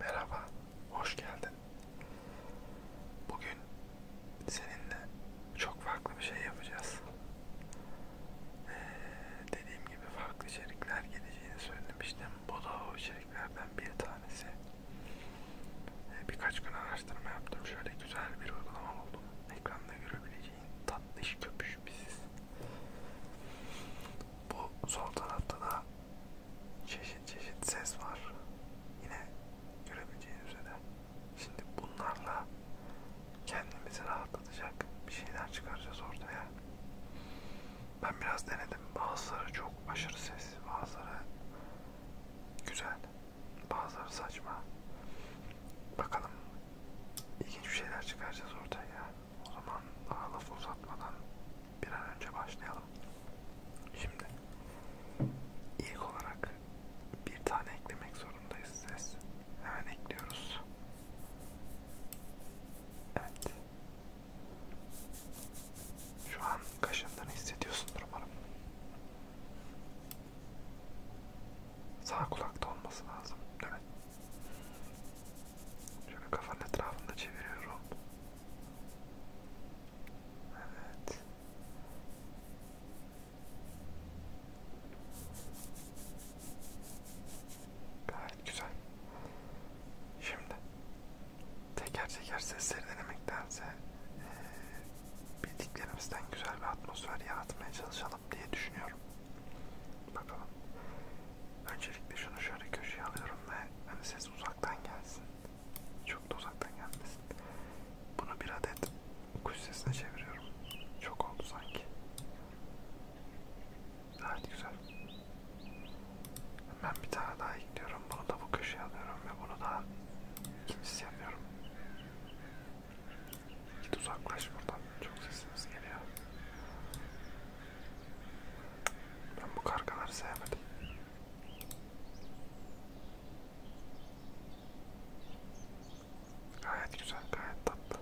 Merhaba, hoş geldin. Bugün seninle çok farklı bir şey yapacağız. Ee, dediğim gibi farklı içerikler geleceğini söylemiştim. Bu da o içeriklerden bir tanesi. Ee, birkaç gün araştırma yaptım. Şöyle güzel bir uygulama buldum. Ekranda görebileceğin tatlış köpüş biziz. Bu sol tarafta da çeşit çeşit ses var. Yine görebileceğiniz üzere. Şimdi bunlarla kendimizi rahatlatacak bir şeyler çıkaracağız ortaya. Ben biraz denedim. Bazıları çok aşırı sesli, bazıları güzel, bazıları saçma. Bakalım ilginç bir şeyler çıkaracağız ortaya. O zaman daha lafı uzatmadan bir an önce başlayalım. Şimdi ilk olarak bir tane eklemek zorundayız ses. Hemen ekliyoruz. Evet. Şu an kaşındığını hissediyorsundur umarım. Sağ kulakta olması lazım. Evet. Şöyle kafanın etrafında çeviriyorum. Evet. Gayet güzel. Şimdi teker teker sesleri denemektense ee, bildiklerimizden güzel bir atmosfer yaratmaya çalışalım diye düşünüyorum. Bakalım. Öncelikle şunu şöyle köşeye alıyorum ve hani ses biraz uzaktan gelsin. Çok da uzaktan gelmesin. Bunu bir adet kuş sesine çeviriyorum. Çok oldu sanki. Gayet güzel. Ben bir tane daha ekliyorum. Bunu da bu köşeye alıyorum ve bunu da ikincisi yapıyorum. Git uzaklaş buradan. Çok sesiniz geliyor. Ben bu kargaları sevmedim. Gayet güzel, gayet tatlı.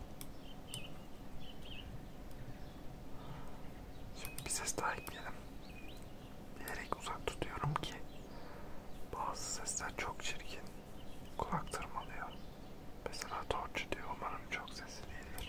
Şimdi bir ses daha ekleyelim. Bilerek uzak tutuyorum ki bazı sesler çok çirkin. Kulak tırmalıyor. Mesela torcu diyor. Umarım çok sesli değildir.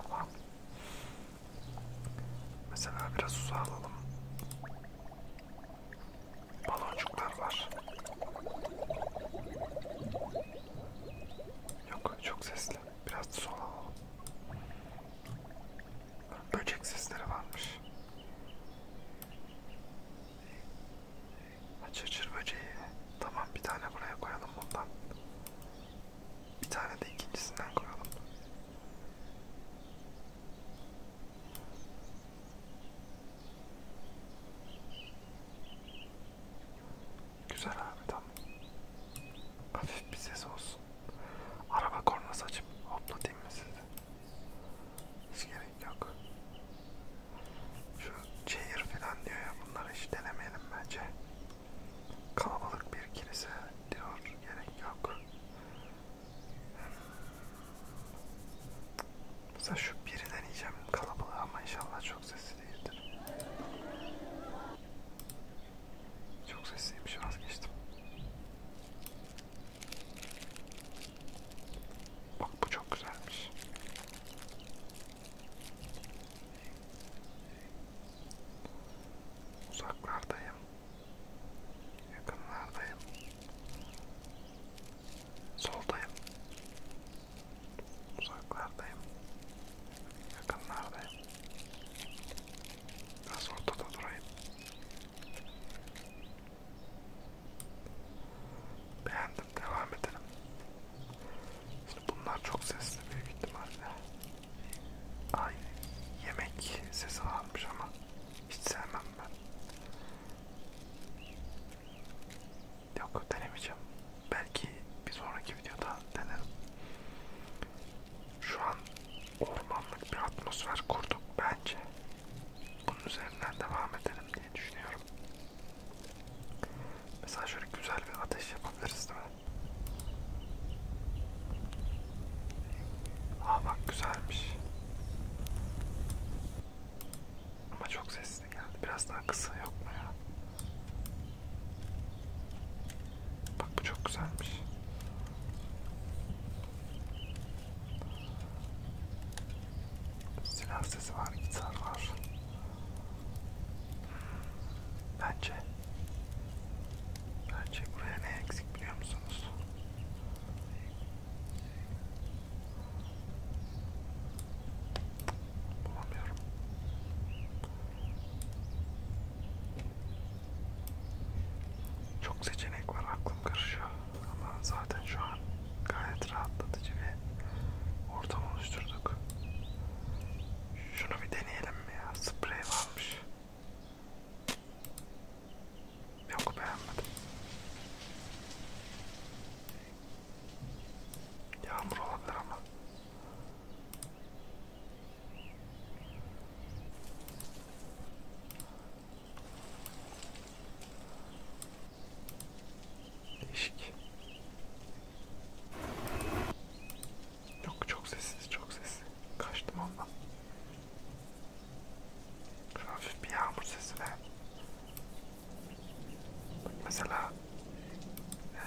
Devam. Mesela biraz uzağa alalım. Baloncuklar var. Yok çok sesli. Biraz da sola alalım. Böcek sesleri varmış. Çırçır böceği. Tamam bir tane buraya koyalım bundan. Bir tane de ikincisinden koyalım. Güzel abi tamam. Hafif bir ses olsun. Araba kornası açıp hoplatayım mı sizi? Hiç gerek yok. Şu çeyir falan diyor ya bunları hiç denemeyelim bence. Kalabalık bir kilise diyor gerek yok. Mesela şu biri deneyeceğim kalabalığı ama inşallah çok sesli değildir. Çok sesliymiş vazgeçtim. Bak bu çok güzelmiş. Uzaklardayım. Yakınlardayım. Soldayım. Uzaklardayım. Yakınlardayım. Biraz ortada durayım. Beğendim. Devam edelim. Şimdi bunlar çok sesli büyük ihtimalle. Ay yemek sesi varmış ama hiç sevmem ben. Yok denemeyeceğim. Belki bir sonraki videoda denerim. Şu an ormanlık bir atmosfer kurduk bence bunun üzerinden devam edelim diye düşünüyorum. Mesela şöyle güzel bir ateş yapabiliriz değil mi? Aa bak güzelmiş. Ama çok sesli geldi. Biraz daha kısa yok mu ya? Bak bu çok güzelmiş. Silah sesi var, gitar var. Bence Bence buraya ne eksik biliyor musunuz? Bulamıyorum. Çok seçenek var, aklım karışıyor. Ama zaten şu an gayet rahatlatıcı bir ortam oluşturduk. Şunu bir deneyelim mi ya? Sprey varmış. Yok beğenmedim. Yağmur olabilir ama. Değişik. Yok çok sessiz çok sessiz. Kaçtım ondan. Şu hafif bir yağmur sesi de. Bak mesela ee,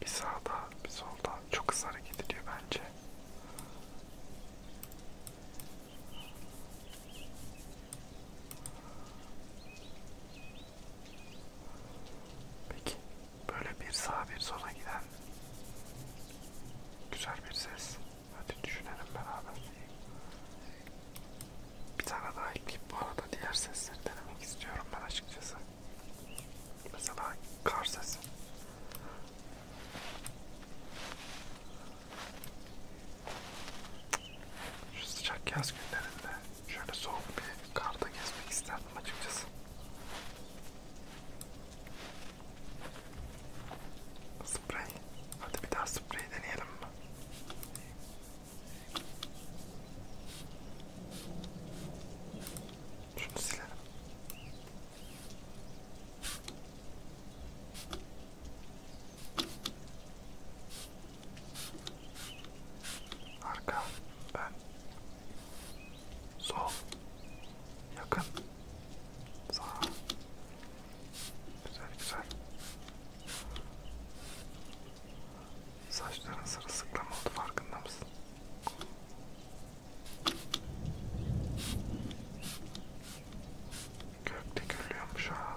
Bir sağda bir solda çok hızlı hareket ediyor bence. Peki böyle bir sağa bir sola giden güzel bir ses. Hadi düşünelim beraber. Bir tane daha ekleyip bu arada diğer sesleri denemek istiyorum ben açıkçası. Mesela kar sesi. Şu sıcak yaz günlerinde şöyle soğuk bir karda gezmek isterdim açıkçası. Sprey. Hadi bir daha sprey deneyelim mi? Şunu silelim. Arka, ön, sol, yakın, sağ. Güzel güzel. Saçların sırılsıklam oldu farkında mısın? Gökte gülüyormuş ha.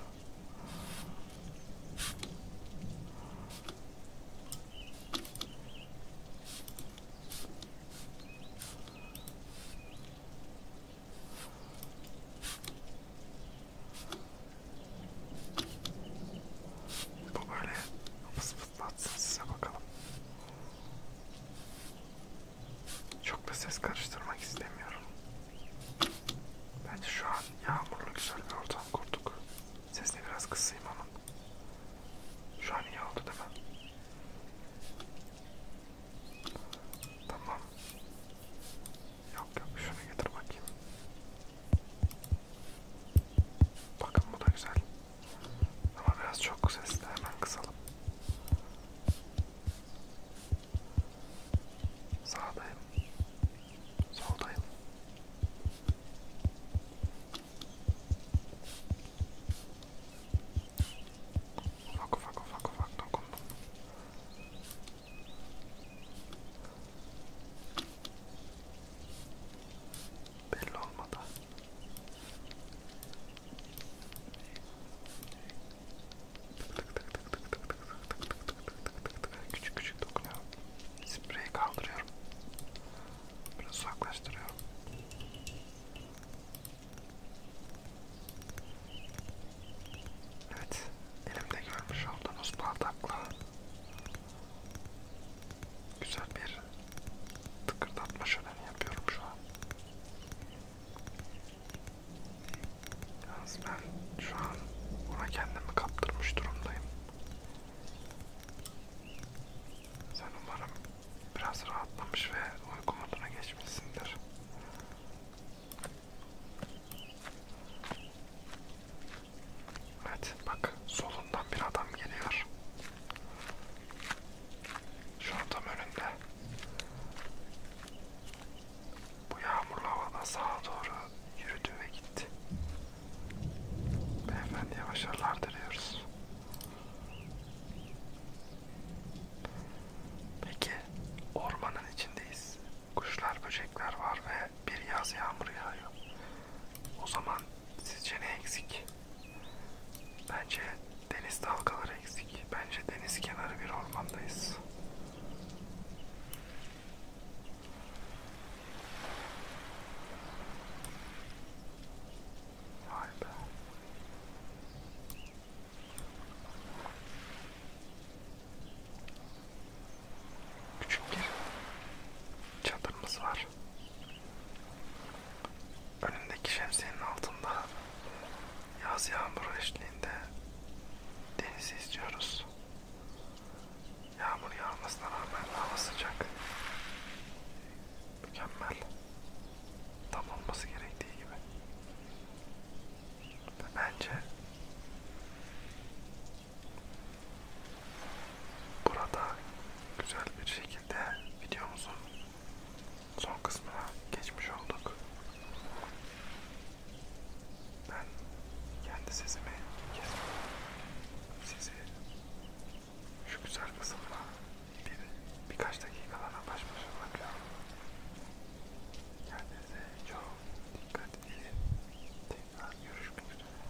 Bu böyle fıs Batsın size bakalım. Çok da ses karıştırmak istemiyorum. Bence şu an yağmurlu güzel bir ortam kurduk. Sesini biraz kısayım ama. Şu an iyi oldu değil mi? Tamam. Yok yok şunu getir bakayım. Bakın bu da güzel. Ama biraz çok sesli hemen kısalım. Sağdayım. Soldayım. Ufak ufak ufak ufak dokundum. Belli olmadan. Tık tık tık tık tık tık tık tık tık tık tık tık küçük küçük dokunuyorum. Spreyi kaldırıyorum. Biraz uzaklaştırıyorum. Evet, elimde görmüş olduğunuz bardakla Güzel bir tıkırdatma şöleni yapıyorum şu an. Yalnız ben şu an ona kendimi kaptırmış durumdayım. Sen umarım biraz rahatlamış ve uyku moduna geçmişsindir. Evet bak solundan bir adam geliyor. Şu an tam önünde. Bu yağmurlu havada sağa doğru yürüdü ve gitti. Beyefendiye başarılar diliyoruz. Peki ormanın içindeyiz. Kuşlar, böcekler var ve bir yaz yağmuru yağıyor. O zaman sizce ne eksik? Bence deniz dalgaları eksik. Bence deniz kenarı bir ormandayız. Vay be. Küçük bir çadırımız var var. Önündeki şemsiyenin altında yaz yağmuru eşliğinde denizi izliyoruz. Yağmur yağmasına rağmen hava sıcak. Mükemmel. Tam olması gerektiği gibi. Ve bence Burada güzel bir şekilde videomuzun son kısmına geçmiş olduk. Ben kendi sesimi kesmedim. Sizi şu güzel kısımla bir, birkaç dakikalara baş başa bırakıyorum. Kendinize çok dikkat edin. Tekrar görüşmek üzere.